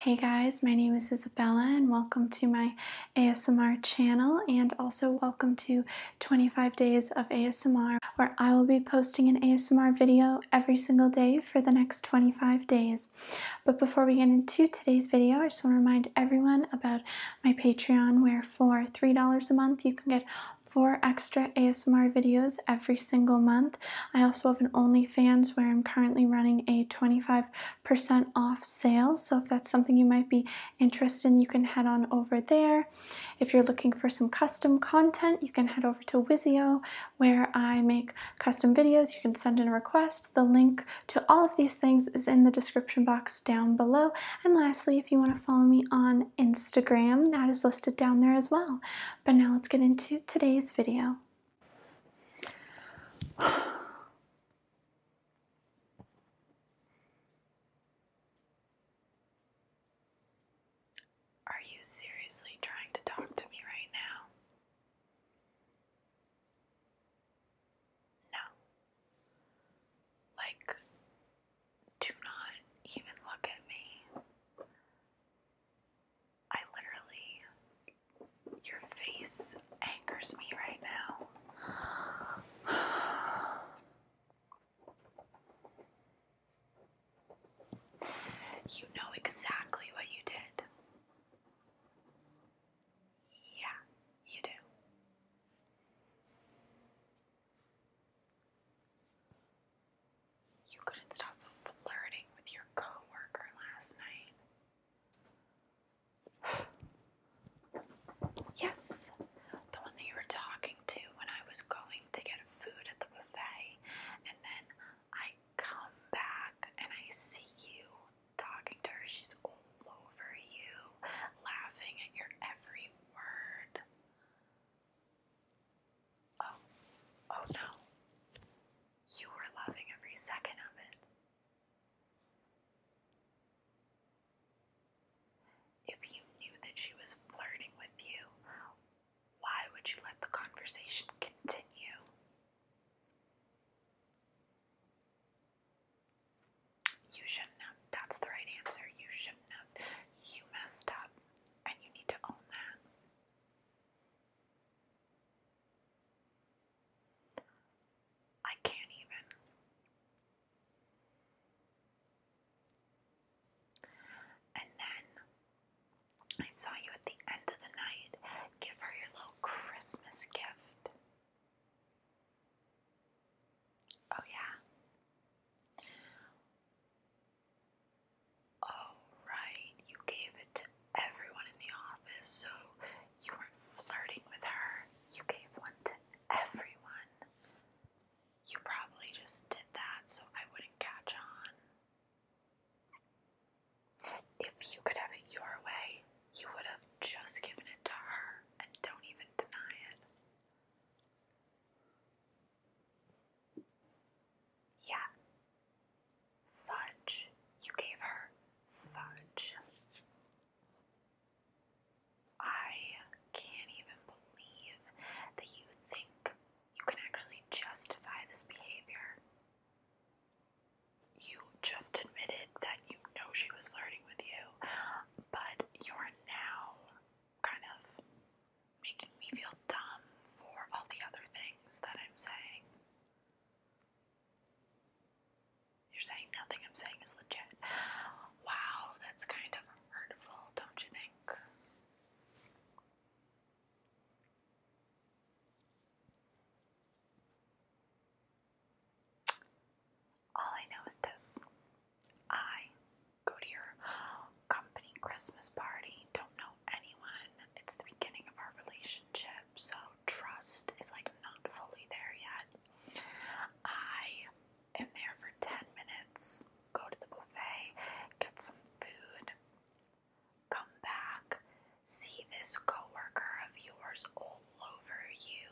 Hey guys, my name is Isabella and welcome to my ASMR channel and also welcome to 25 Days of ASMR where I will be posting an ASMR video every single day for the next 25 days. But before we get into today's video, I just want to remind everyone about my Patreon where for $3 a month you can get four extra ASMR videos every single month I also have an OnlyFans where I'm currently running a 25% off sale. So if that's something you might be interested in, you can head on over there. If you're looking for some custom content, you can head over to Wizio where I make custom videos. You can send in a request. The link to all of these things is in the description box down below. And lastly, if you want to follow me on Instagram, that is listed down there as well. But now let's get into today's video. Are you seriously trying to talk to me right now? No. Like, do not even look at me. I literally. Your face angers me right now. You know exactly what you did. Yeah, you do. You couldn't stop flirting with your coworker last night. yes, the one that you were talking to when I was going to get food at the buffet, and then I come back and I see you talking to her. She's all over you, laughing at your every word. Oh, oh no. You were loving every second of it. If you knew that she was flirting with you, why would you let the conversation continue? You shouldn't have. That's the right answer. You shouldn't have. You messed up, and you need to own that. I can't even. And then I saw you at the end of the night give her your little Christmas gift. Oh, yeah. Oh, right. You gave it to everyone in the office, so you weren't flirting with her. You gave one to everyone. You probably just did that so I wouldn't catch on. If you could have it your way, you would have just given it to her and don't even deny it. Yeah. Fudge. You gave her fudge. I can't even believe that you think you can actually justify this behavior. You just admitted that you know she was flirting with you, but you're now kind of making me feel dumb for all the other things that I'm saying. You're saying nothing I'm saying is legit. Wow, that's kind of hurtful, don't you think? All I know is this I go to your company Christmas party, don't know anyone. It's the beginning of our relationship, so trust is like not fully there yet. I am there for 10 minutes, go to the buffet, get some food, come back, see this coworker of yours all over you,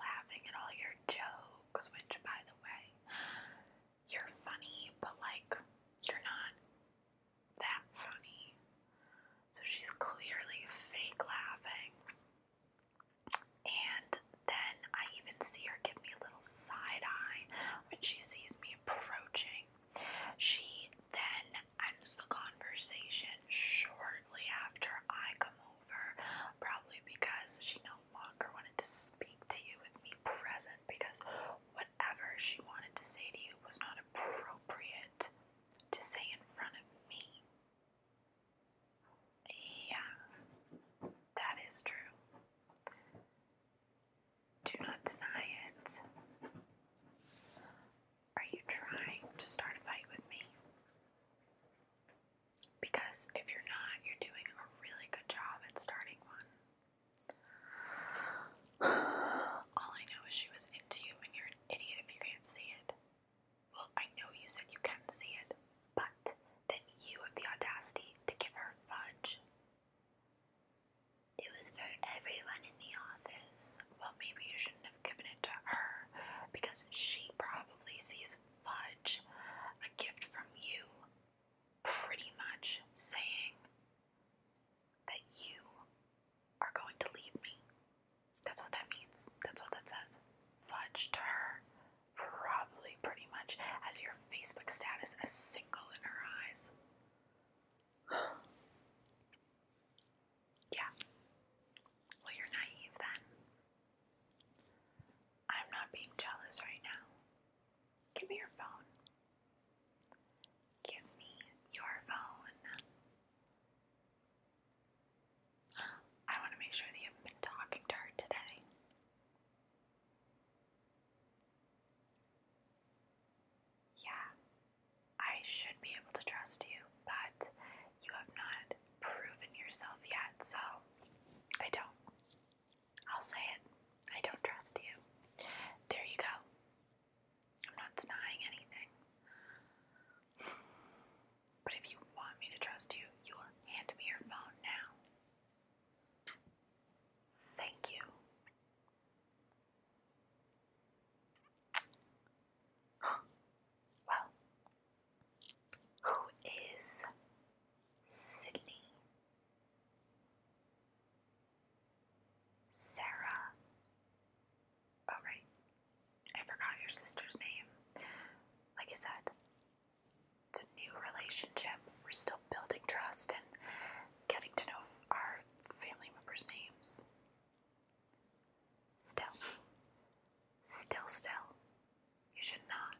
laughing at all your jokes, which by the way, you're funny, but like you're not that funny. So she's clearly fake laughing. And then I even see her give me a little side eye when she sees me approaching. She then ends the conversation shortly after I come over, probably because she no longer wanted to speak to you with me present. Because when whatever she wanted to say to you was not appropriate to say in front of me. Yeah, that is true. Do not deny it. Are you trying to start a fight with me? Because if you're not, you're doing a really good job at starting one. All I know is she was into you and you're an idiot if you can't see it. Well, I know you said you can see it, but then you have the audacity to give her fudge. It was for everyone in the office. Well, maybe you shouldn't have given it to her because she probably sees fudge, a gift from you, pretty much saying, that you are going to leave me. That's what that means. That's what that says. Fudge to her. Probably pretty much as your Facebook status as single in her eyes. yeah. Well, you're naive then. I'm not being jealous right now. Give me your phone. Give me your phone. I want to make sure that you haven't been talking to her today. Yeah, I should be able to trust you, but you have not proven yourself yet, so I don't. I'll say it. I don't trust you. There you go. I'm not denying anything. But if you want me to trust you, you'll hand me your phone now. Thank you. Well, who is Sydney? Sarah. Oh, right. I forgot your sister's name. Like I said, it's a new relationship. We're still building trust and getting to know our family members' names. Still, still, still, you should not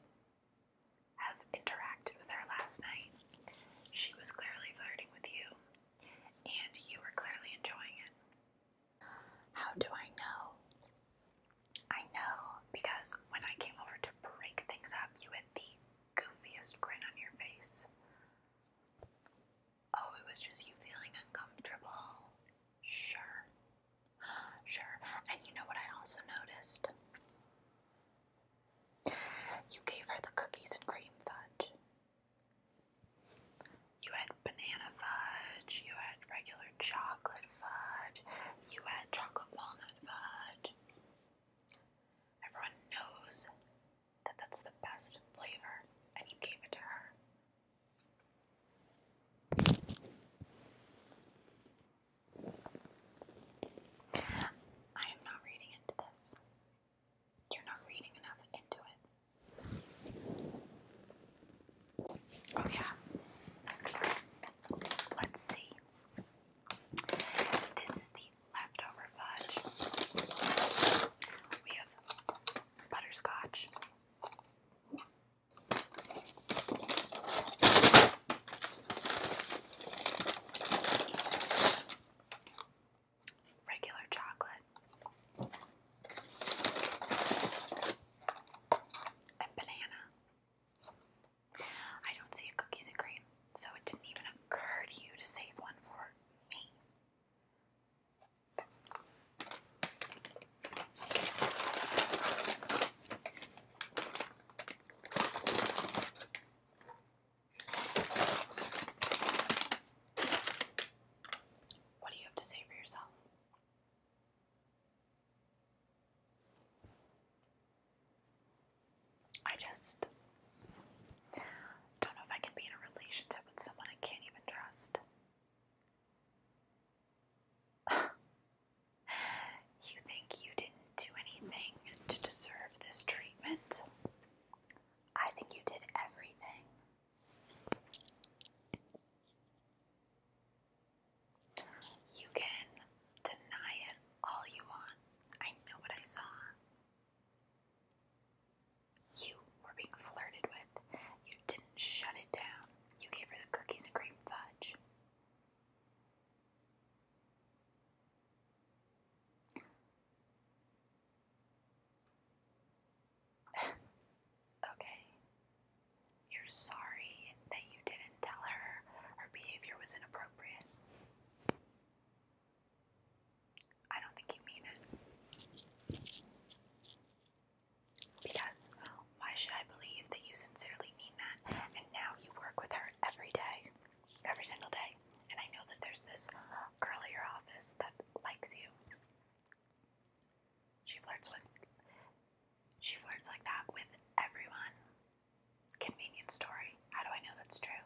have interacted with her last night. She was clearly flirting with you, and you were clearly enjoying it. How do I know? I know because when I came over to break things up, you had the goofiest grin on your face. Oh, it was just you feeling uncomfortable. Sure. Sure. And you know what I also noticed? You gave her the cookies and cream fudge. You had banana fudge, you had regular chocolate fudge, you had chocolate walnut fudge. Everyone knows that that's the best flavor, and you gave it to her. I am not reading into this. You're not reading enough into it. Oh, yeah. Let's see. This is the leftover fudge. We have butterscotch regular chocolate, and banana. I don't see cookies and cream, so it didn't even occur to you to save one for me. What do you have to say for yourself? I just don't know if I can be in a relationship with someone I can't even trust. You think you didn't do anything to deserve this treatment? I think you did everything. You can deny it all you want. I know what I saw. You were being flirted with. You didn't shut it down. You gave her the cookies and cream fudge okay. You're sorry that you didn't tell her her behavior was inappropriate. I don't think you mean it. Because why should I believe that you sincerely mean that and now you work with her every day, every single day. And I know that there's this girl in your office that likes you. She flirts with, she flirts like that with everyone. Convenient story. How do I know that's true?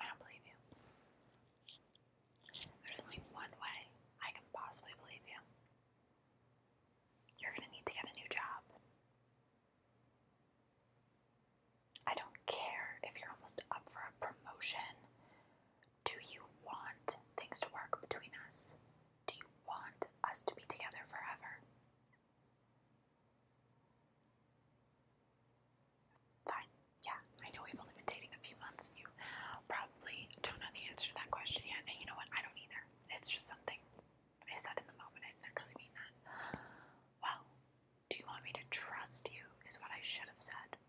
I don't believe you. There's only one way I can possibly believe you. You're gonna need to get a new job. I don't care if you're almost up for a promotion. Do you want things to work between us? Do you want us to be together forever? Fine yeah, I know we've only been dating a few months. You probably don't know the answer to that question yet. And you know what? I don't either. It's just something I said in the moment. I didn't actually mean that. Well, do you want me to trust you? Is what I should have said.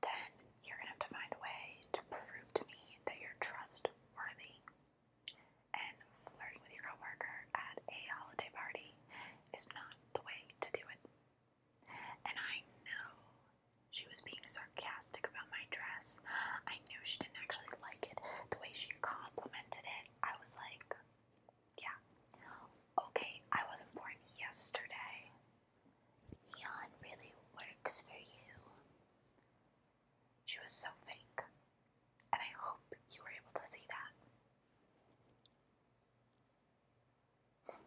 Then you're going to have to find a way to prove to me that you're trustworthy. And flirting with your coworker at a holiday party is not the way to do it. And I know she was being sarcastic about my dress. I knew she didn't actually like it. The way she complimented it, I was like, yeah. Okay, I wasn't born yesterday. Neon really works for you. She was so fake. And I hope you were able to see that. Fine.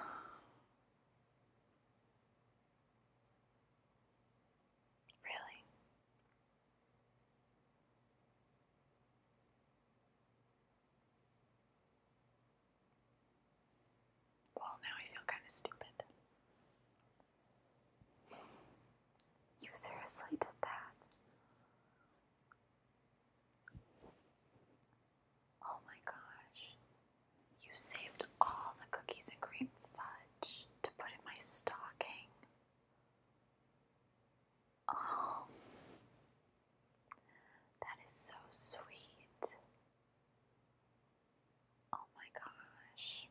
Really? Well, now I feel kind of stupid. You seriously did that? Oh my gosh. You saved all the cookies and cream fudge to put in my stocking. Oh. That is so sweet. Oh my gosh.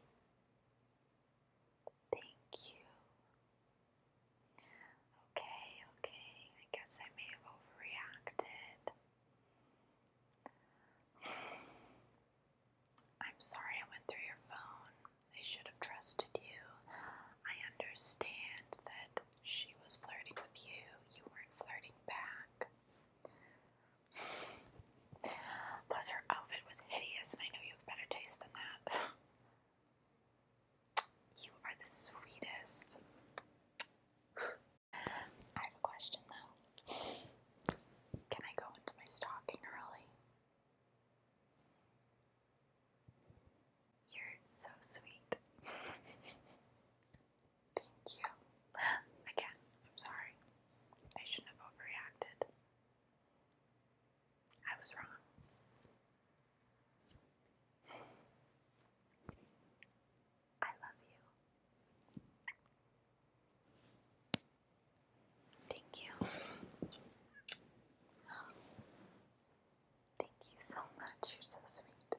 Thank you. Okay, okay. I guess I may have overreacted. I'm sorry I went through your phone. I should have trusted you. I understand that she was flirting with you. You weren't flirting back. Plus, her outfit was hideous, and I know you have better taste than that. you are the sweetest. I have a question though. Can I go into my stocking early? You're so sweet. Thank you. Again, I'm sorry. I shouldn't have overreacted. I was wrong. I love you. Thank you. Thank you so much. You're so sweet.